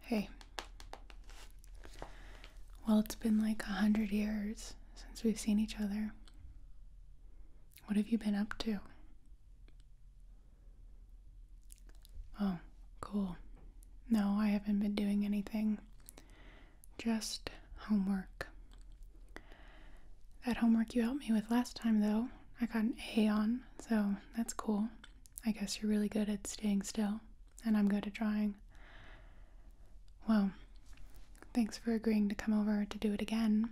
Hey. Well, it's been like a hundred years since we've seen each other. What have you been up to? Oh, cool. No, I haven't been doing anything. Just homework. That homework you helped me with last time, though, I got an A on, so that's cool. I guess you're really good at staying still, and I'm good at drawing. Well, thanks for agreeing to come over to do it again.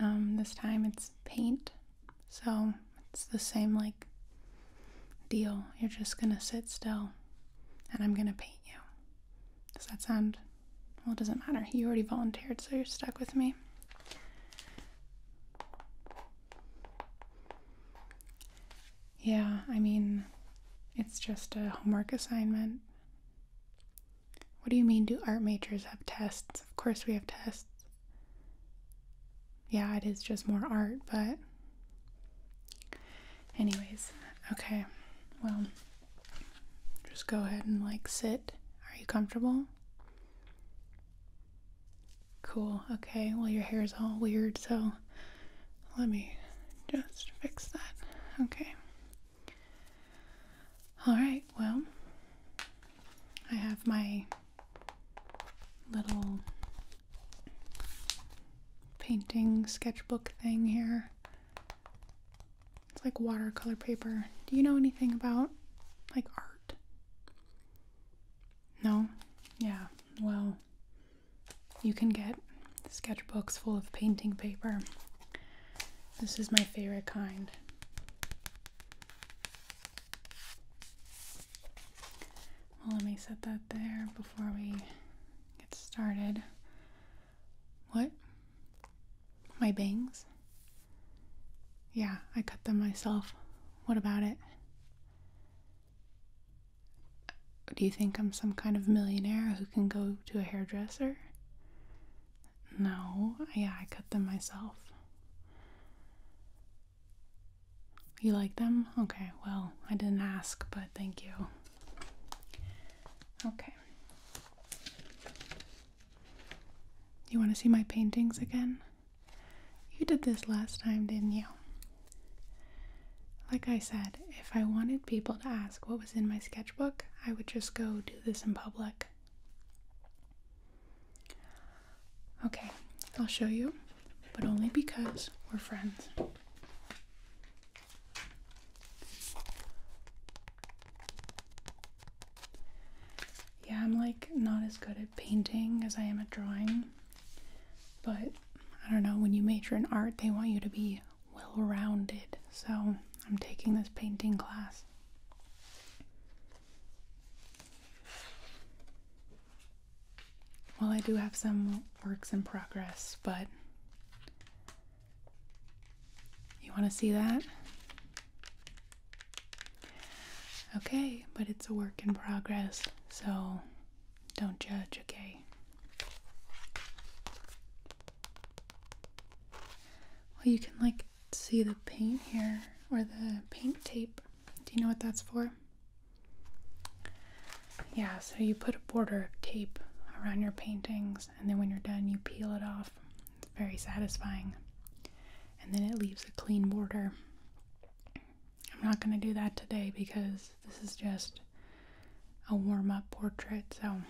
Um, this time it's paint, so it's the same like deal. You're just gonna sit still, and I'm gonna paint you. Does that sound? Well, it doesn't matter. You already volunteered, so you're stuck with me. Yeah, I mean, it's just a homework assignment. What do you mean, do art majors have tests? Of course, we have tests. Yeah, it is just more art, but. Anyways, okay. Well, just go ahead and like sit. Are you comfortable? Cool. Okay. Well, your hair is all weird, so let me just fix that. Okay. All right. Well, I have my little painting sketchbook thing here. It's like watercolor paper. Do you know anything about like art? No? Yeah, well, you can get sketchbooks full of painting paper. This is my favorite kind. Well, let me set that there before we get started. What? My bangs? Yeah, I cut them myself. What about it? Do you think I'm some kind of millionaire who can go to a hairdresser? No, yeah, I cut them myself. You like them? Okay, well, I didn't ask, but thank you. Okay. You want to see my paintings again? You did this last time, didn't you? Like I said, if I wanted people to ask what was in my sketchbook, I would just go do this in public. Okay, I'll show you, but only because we're friends. Yeah, I'm like not as good at painting as I am at drawing. But I don't know, when you major in art, they want you to be well rounded. So I'm taking this painting class. Well, I do have some works in progress, but you want to see that? Okay, but it's a work in progress, so don't judge, okay? Well, you can like see the paint here or the paint tape. Do you know what that's for? Yeah, so you put a border of tape around your paintings, and then when you're done, you peel it off. It's very satisfying. And then it leaves a clean border. I'm not going to do that today because this is just a warm up portrait. So I'm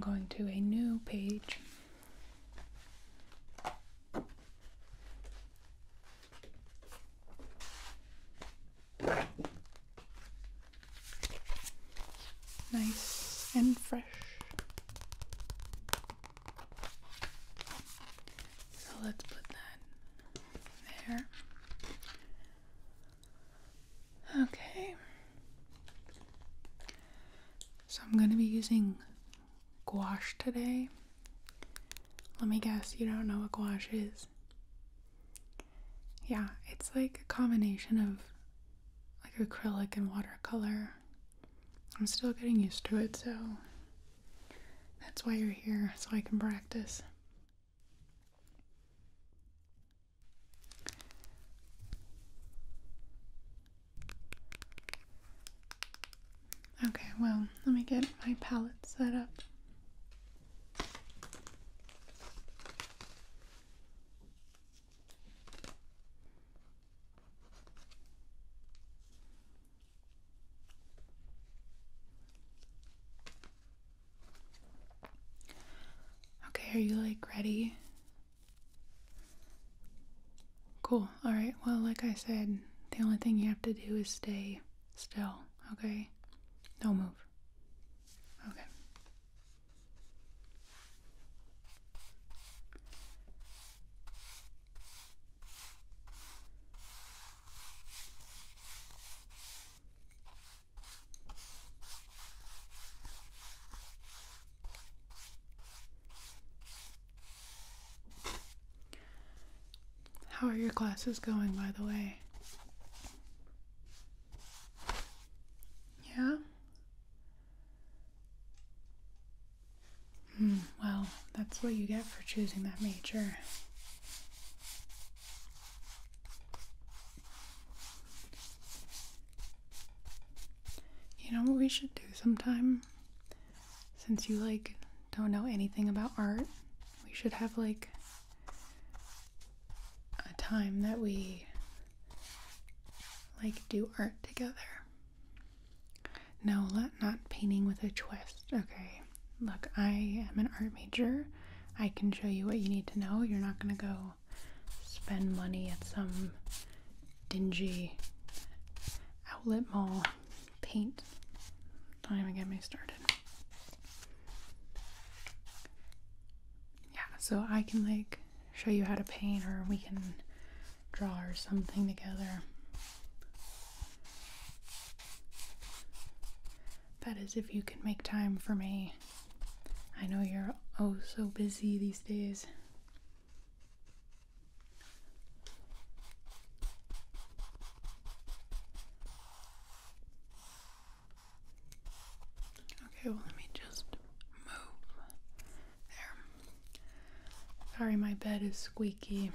going to a new page. Nice and fresh. So let's put that there. Okay. So I'm going to be using gouache today. Let me guess, you don't know what gouache is. Yeah, it's like a combination of like acrylic and watercolor. I'm still getting used to it, so that's why you're here, so I can practice. Okay, well, let me get my palette set up. Okay, are you like ready? Cool. All right. Well, like I said, the only thing you have to do is stay still, okay? Don't move. Okay. How are your classes going, by the way? Yeah? Hmm, well, that's what you get for choosing that major. You know what we should do sometime? Since you like don't know anything about art, we should have like a time that we like do art together. No, not painting with a twist. Okay. Look, I am an art major. I can show you what you need to know. You're not going to go spend money at some dingy outlet mall paint. Don't even get me started. Yeah, so I can like show you how to paint or we can draw or something together. That is, if you can make time for me. I know you're oh so busy these days. Okay, well, let me just move. There. Sorry, my bed is squeaky.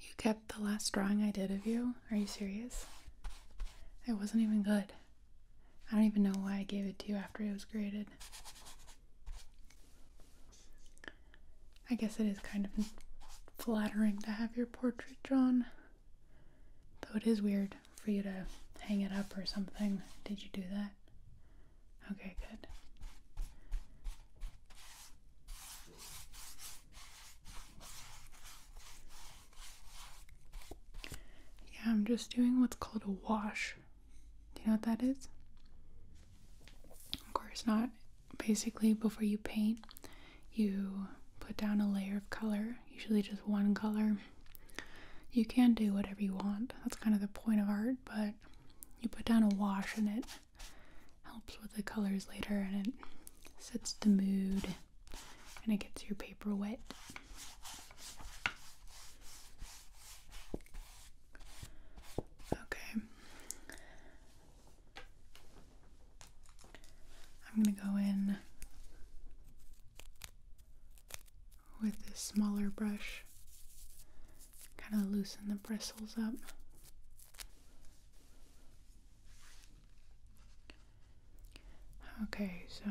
You kept the last drawing I did of you? Are you serious? It wasn't even good. I don't even know why I gave it to you after it was graded. I guess it is kind of flattering to have your portrait drawn. Though it is weird for you to hang it up or something. Did you do that? Okay, good. Yeah, I'm just doing what's called a wash do you know what that is? Of course not. Basically, before you paint, you put down a layer of color, usually just one color. You can do whatever you want. That's kind of the point of art, but you put down a wash and it helps with the colors later and it sets the mood and it gets your paper wet. Okay. I'm going to go in with this smaller brush, kind of loosen the bristles up. Okay, so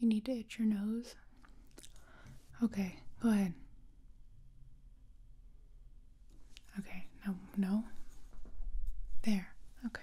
You need to itch your nose? Okay, go ahead. Okay, no, no. There, okay.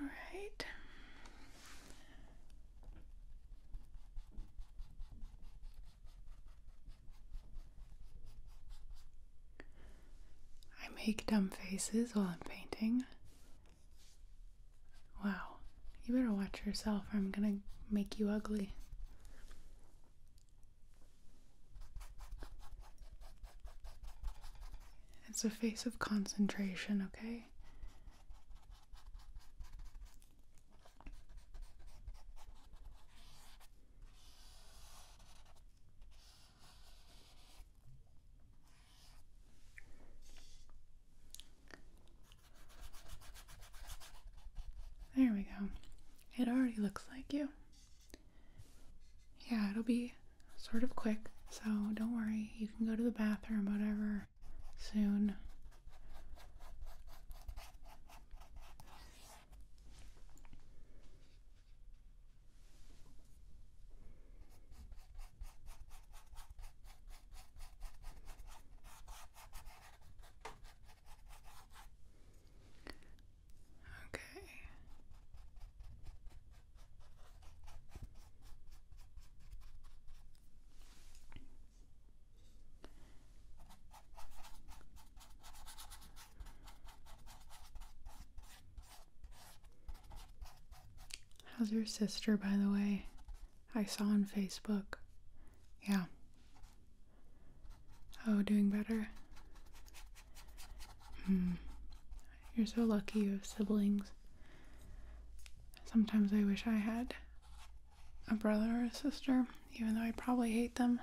All right. I make dumb faces while I'm painting. Wow, you better watch yourself or I'm gonna make you ugly. It's a face of concentration, okay? There we go. It already looks like you yeah, it'll be sort of quick, so don't worry. You can go to the bathroom, whatever, soon. Okay. How's your sister, by the way? I saw on Facebook. Yeah. Oh, doing better? Hmm. You're so lucky you have siblings. Sometimes I wish I had a brother or a sister, even though I probably hate them.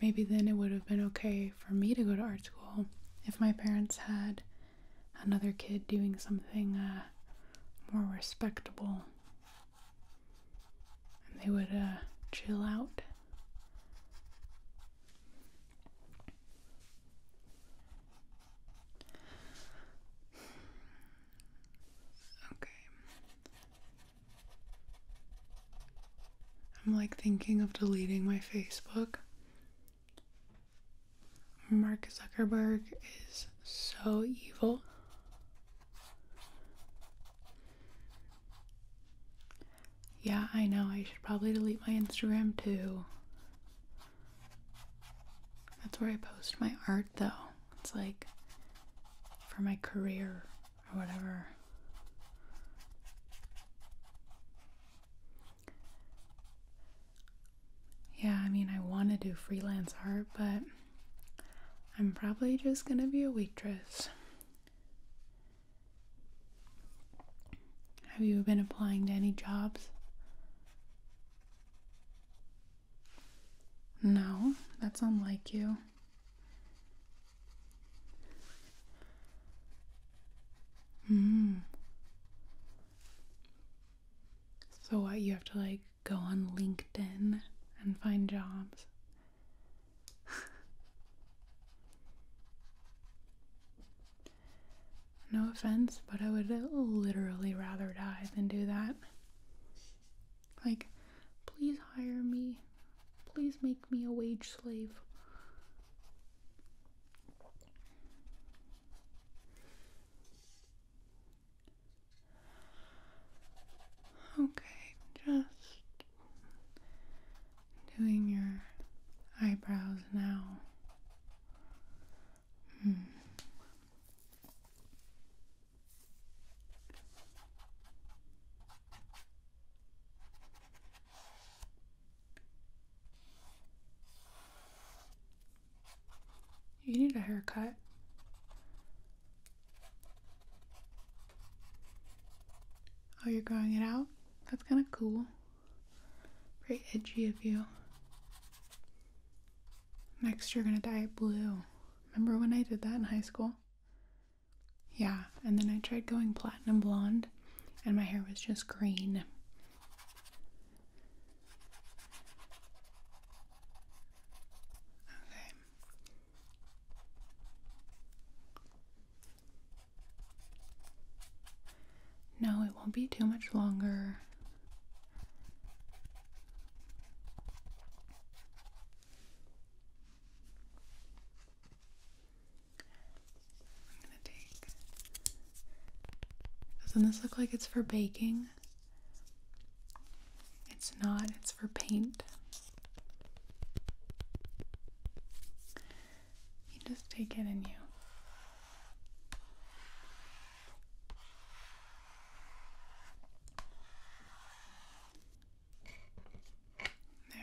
Maybe then it would have been okay for me to go to art school if my parents had another kid doing something uh, more respectable and they would uh, chill out. Okay. I'm like thinking of deleting my Facebook. Mark Zuckerberg is so evil. Yeah, I know. I should probably delete my Instagram too. That's where I post my art though. It's like for my career or whatever. Yeah, I mean, I want to do freelance art, but I'm probably just going to be a waitress. Have you been applying to any jobs? No, that's unlike you. Mm. So what you have to like go on LinkedIn and find jobs. no offense, but I would literally rather die than do that. Like, please hire me. Please make me a wage slave. Okay, just Doing your eyebrows now. Hmm. You need a haircut. Oh, you're growing it out? That's kind of cool. Very edgy of you. Next, you're gonna dye it blue. Remember when I did that in high school? Yeah, and then I tried going platinum blonde, and my hair was just green. Okay, no, it won't be too much longer. I'm gonna take. Doesn't this look like it's for baking? It's not, It's that's for paint. You just take it in you.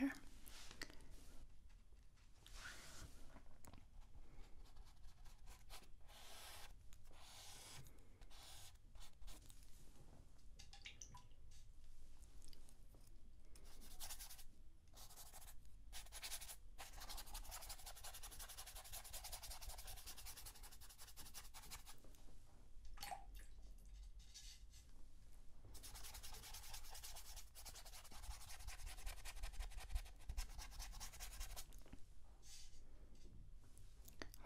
There.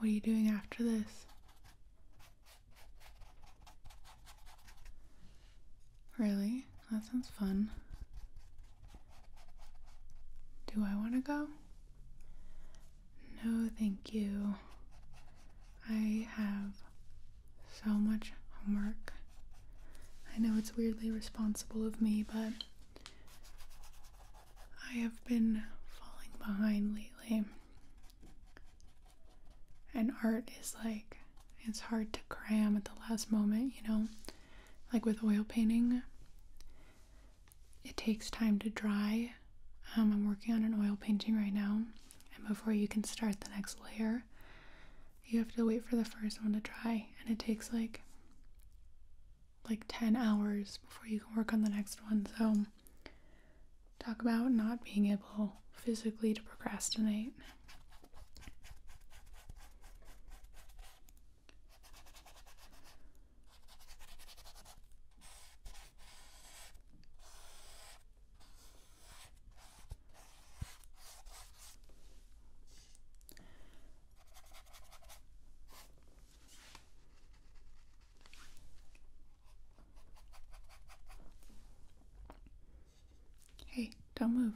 What are you doing after this? Really? That sounds fun. Do I want to go? No, thank you. I have so much homework. I know it's weirdly responsible of me, but I have been falling behind lately. And art is like, it's hard to cram at the last moment, you know? Like with oil painting, it takes time to dry. Um, I'm working on an oil painting right now, and before you can start the next layer, you have to wait for the first one to dry, and it takes like like 10 hours before you can work on the next one. So Talk about not being able physically to procrastinate. Hey, don't move.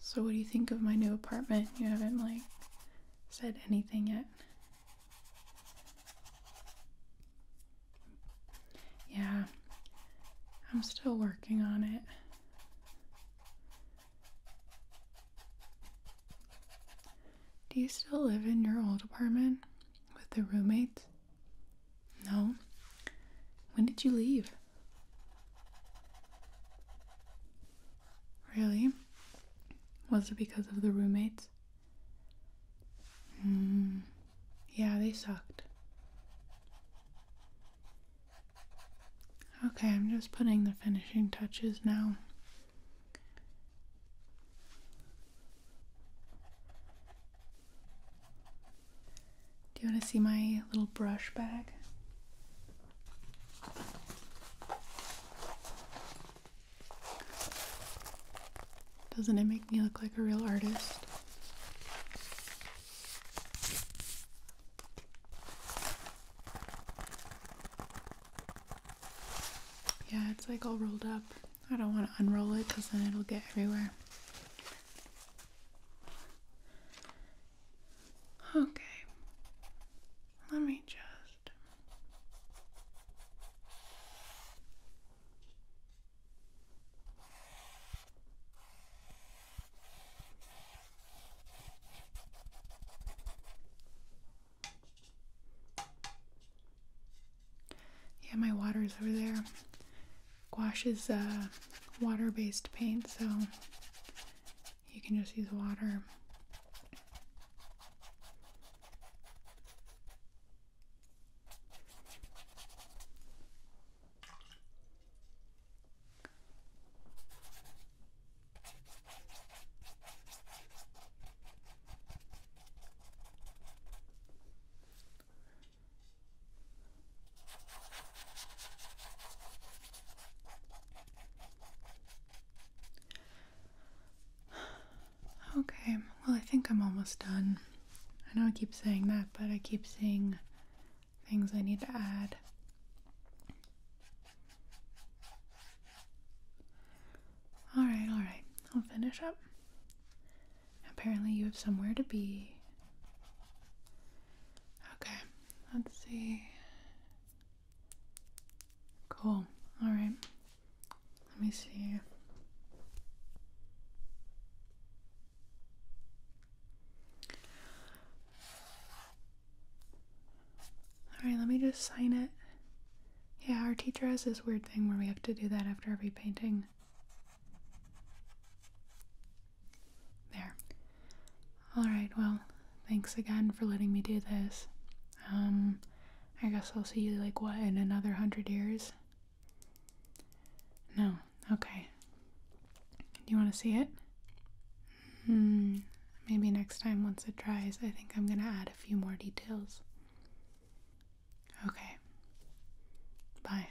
So, what do you think of my new apartment? You haven't, like, said anything yet. Yeah, I'm still working on it. Do you still live in your old apartment with the roommates? No. When did you leave? Really? Was it because of the roommates? Hmm. yeah, they sucked. Okay, I'm just putting the finishing touches now. Do you want to see my little brush bag? Doesn't it make me look like a real artist? Yeah, it's like all rolled up. I don't want to unroll it because then it'll get everywhere. Okay, let me just. Yeah, my water is over there. Gouache is uh, water based paint, so you can just use water. Okay, well, I think I'm almost done. I know I keep saying that, but I keep saying things I need to add. Alright, alright, I'll finish up. Apparently, you have somewhere to be. Okay, let's see. Cool, alright. Let me see. Alright, let me just sign it. Yeah, our teacher has this weird thing where we have to do that after every painting. There. Alright, well, thanks again for letting me do this. Um, I guess I'll see you, like, what, in another hundred years? No. Okay. Do you want to see it? Hmm, maybe next time once it dries, I think I'm gonna add a few more details. Okay. Bye.